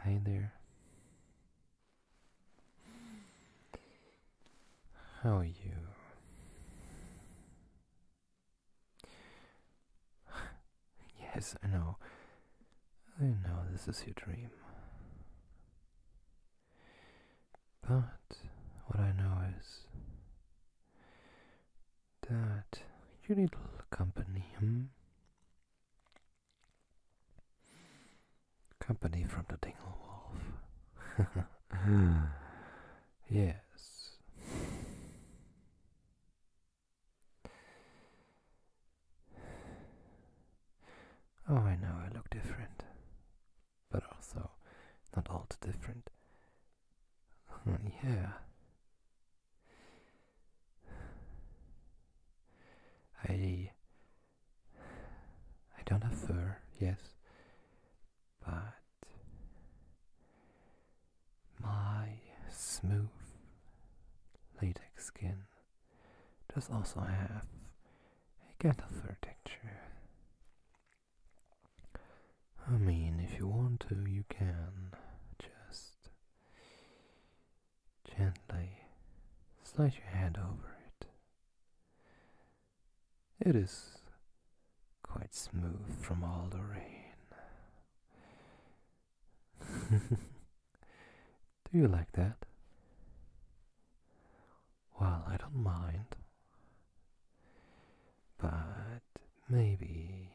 Hi there. How are you? yes, I know. I know this is your dream. But what I know is that you need company, hmm? Company from the Dinglewolf. yes. Oh, I know I look different, but also not all too different. yeah, I I don't have fur, yes, but my smooth latex skin does also have a kind of fur texture. I mean, if you want to, you can just Gently slide your hand over it. It is quite smooth from all the rain. Do you like that? Well, I don't mind. But maybe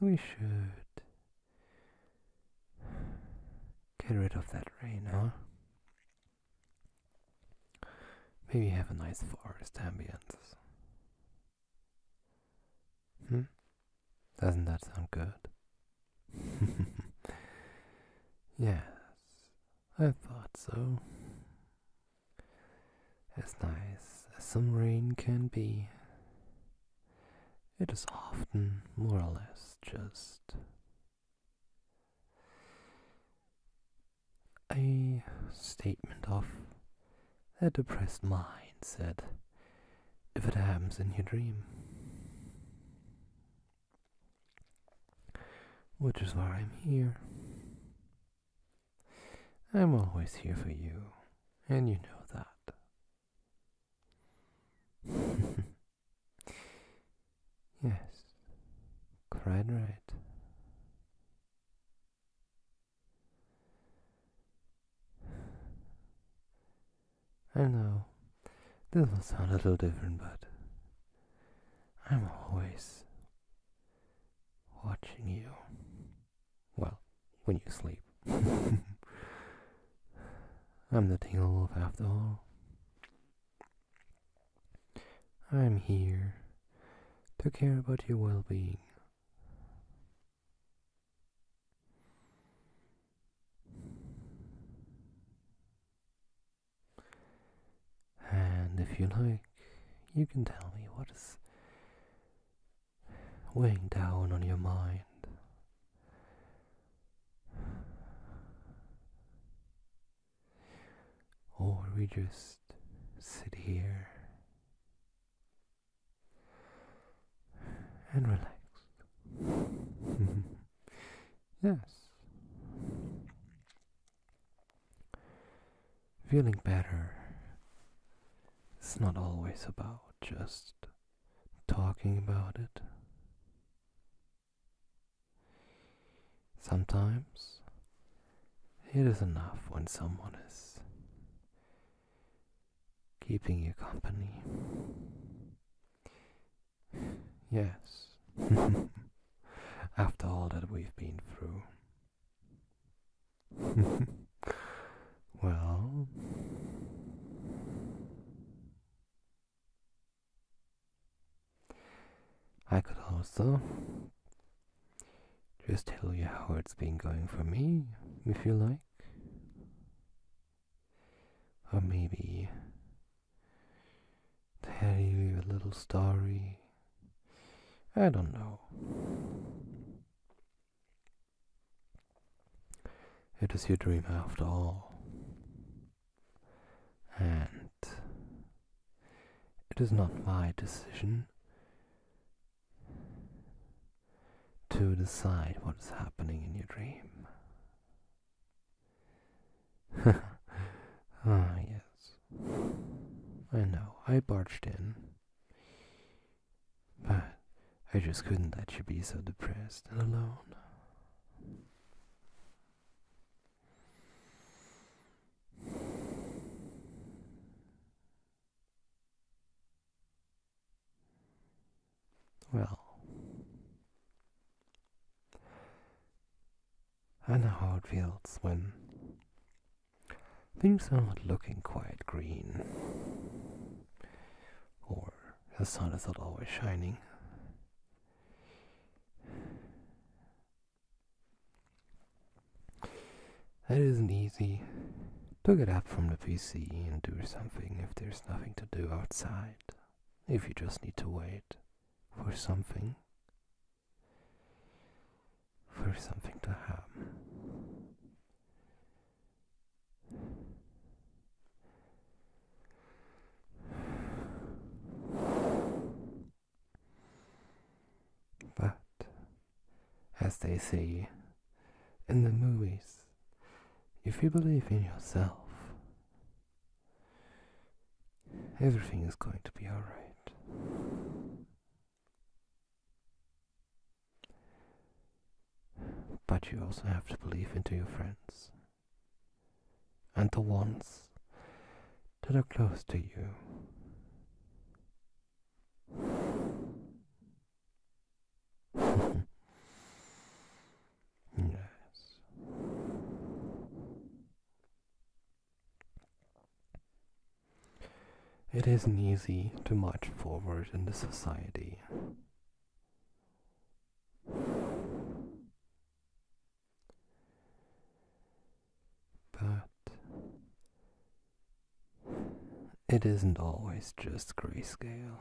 we should get rid of that rain, huh? Maybe have a nice forest ambience. Hmm? Doesn't that sound good? yes, I thought so. As nice as some rain can be, it is often more or less just a statement of a depressed mind. mindset if it happens in your dream. Which is why I'm here I'm always here for you, and you know that. yes, quite right. I know this will sound a little different, but I'm always watching you. Well, when you sleep. I'm the Teen of after all. I'm here to care about your well-being. And if you like, you can tell me what is weighing down on your mind. Or we just sit here and relax. yes feeling better is not always about just talking about it. Sometimes it is enough when someone is keeping you company. Yes, after all that we've been through. well, I could also just tell you how it's been going for me, if you like. Or maybe tell you a little story. I don't know. It is your dream after all. And it is not my decision to decide what is happening in your dream. ah, yes. I know, I barged in. But I just couldn't let you be so depressed and alone. Well, I know how it feels when Things are not looking quite green. Or the sun is not always shining. That isn't easy. Pick it up from the PC and do something if there's nothing to do outside. If you just need to wait for something for something to happen. But, as they say in the movies, if you believe in yourself, everything is going to be alright. But you also have to believe into your friends and the ones that are close to you. yes. It isn't easy to march forward in the society. But it isn't always just grayscale.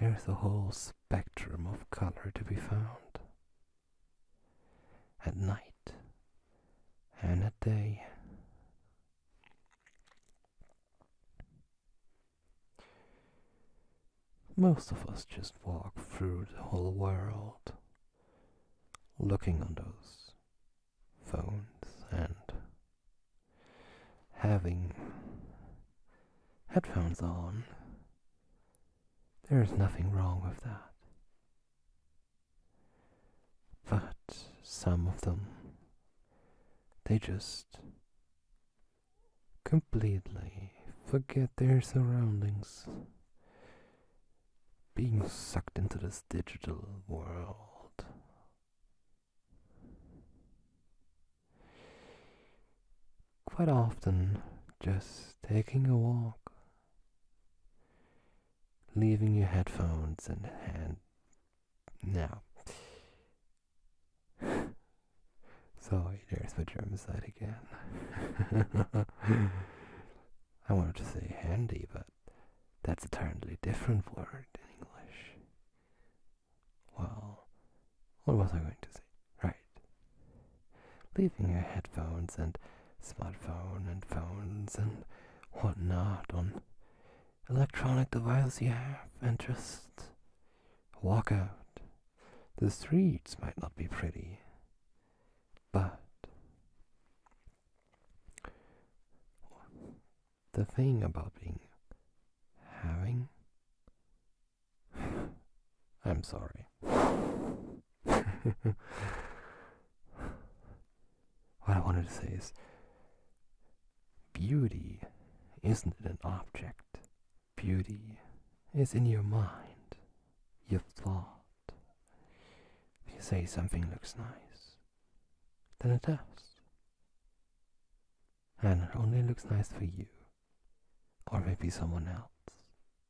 There's a whole spectrum of color to be found at night and at day. Most of us just walk through the whole world looking on those phones and having headphones on. There is nothing wrong with that. But some of them, they just completely forget their surroundings, being sucked into this digital world. Quite often, just taking a walk leaving your headphones in hand now. Sorry, there's my side again. I wanted to say handy, but that's a totally different word in English. Well, what was I going to say? Right leaving your headphones and smartphone and phones and whatnot on electronic devices you have and just walk out. The streets might not be pretty, but the thing about being having. I'm sorry. what I wanted to say is beauty isn't an object, beauty is in your mind, your thought. If you say something looks nice, then it does. And it only looks nice for you, or maybe someone else.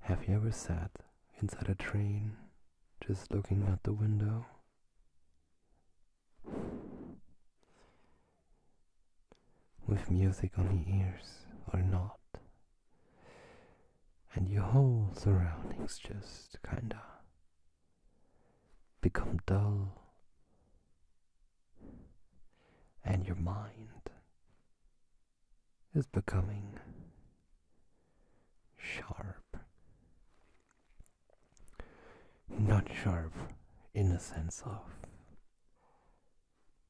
Have you ever sat inside a train just looking out the window? With music on the ears or not, and your whole surroundings just kinda become dull, and your mind is becoming sharp. Not sharp in a sense of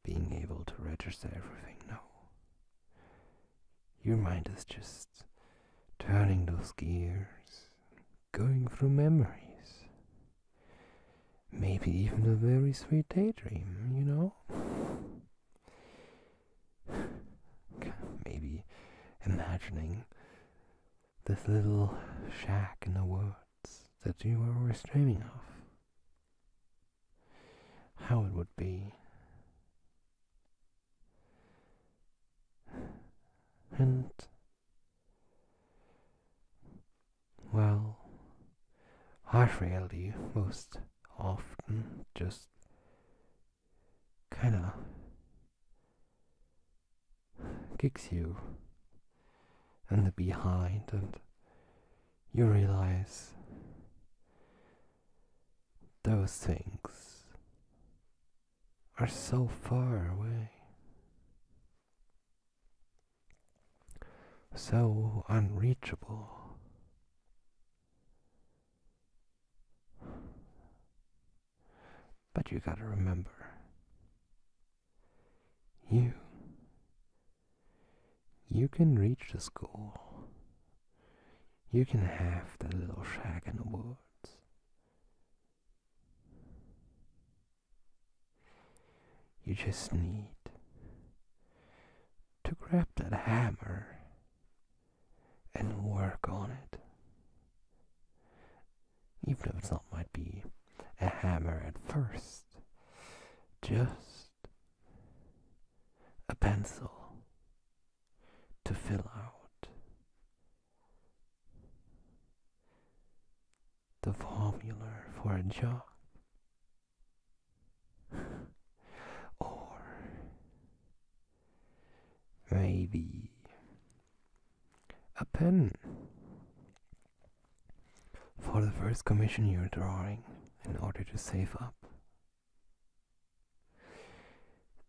being able to register everything, no. Your mind is just turning those gears going through memories. Maybe even a very sweet daydream, you know? Maybe imagining this little shack in the woods that you were always dreaming of. How it would be. And well, I really most often just kinda kicks you in the behind and you realize those things are so far away, so unreachable. But you gotta remember, you, you can reach the school. You can have the little shack in the woods. You just need to grab that hammer and work on it. Even if it's not might be a hammer at first, just a pencil to fill out the formula for a job or maybe a pen for the first commission you're drawing in order to save up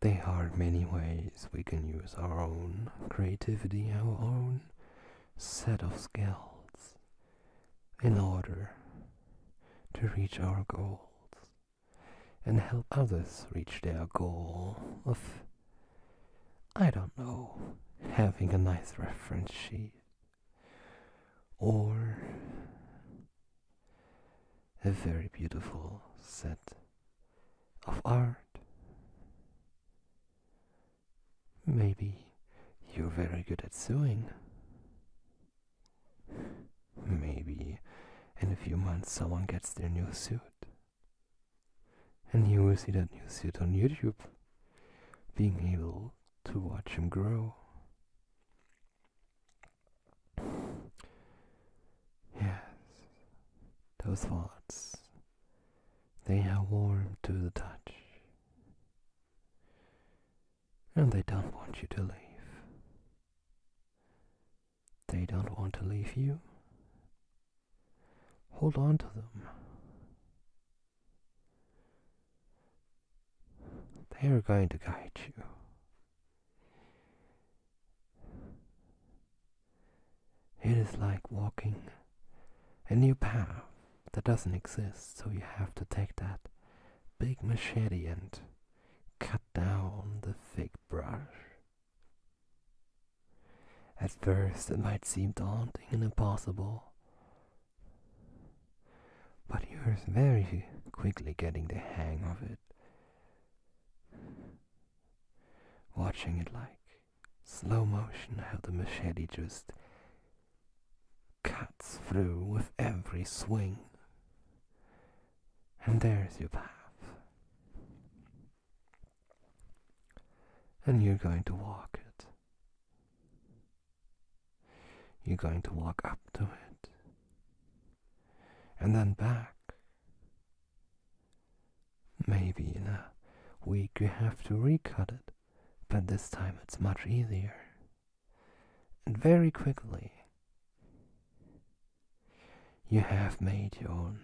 there are many ways we can use our own creativity, our own set of skills, in order to reach our goals and help others reach their goal of, I don't know, having a nice reference sheet or a very beautiful set of art. Maybe you're very good at sewing. Maybe in a few months someone gets their new suit. And you will see that new suit on YouTube, being able to watch him grow. Yes, those thoughts. They are warm to the touch. And they don't want you to leave. They don't want to leave you. Hold on to them. They are going to guide you. It is like walking a new path that doesn't exist, so you have to take that big machete and cut down the thick brush. At first, it might seem daunting and impossible, but you're very quickly getting the hang of it. Watching it like slow motion, how the machete just cuts through with every swing. And there's your path. And you're going to walk it. You're going to walk up to it. And then back. Maybe in uh, a week you have to recut it, but this time it's much easier. And very quickly, you have made your own.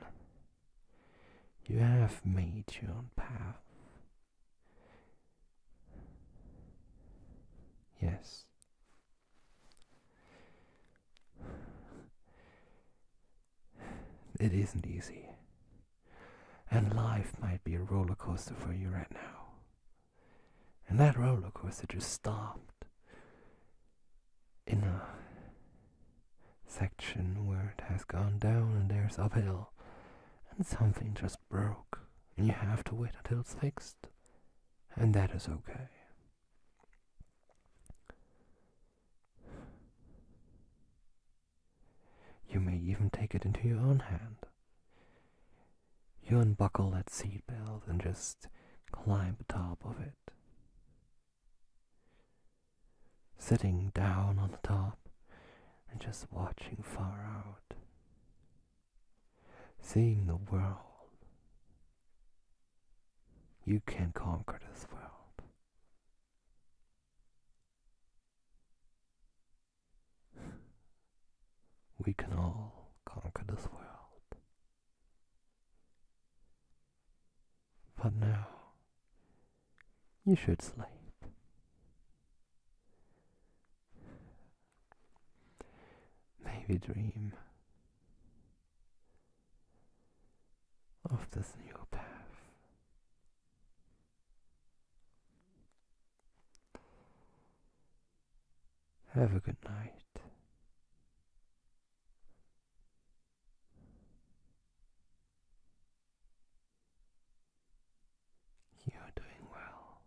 You have made your own path. Yes. It isn't easy. And life might be a roller coaster for you right now. And that roller coaster just stopped in a section where it has gone down and there's uphill. And something just broke. And you have to wait until it's fixed. And that is okay. You may even take it into your own hand. You unbuckle that seatbelt and just climb top of it. Sitting down on the top and just watching far out. Seeing the world you can conquer this world. We can all conquer this world. But now, you should sleep. Maybe dream of this new path. Have a good night. You're doing well.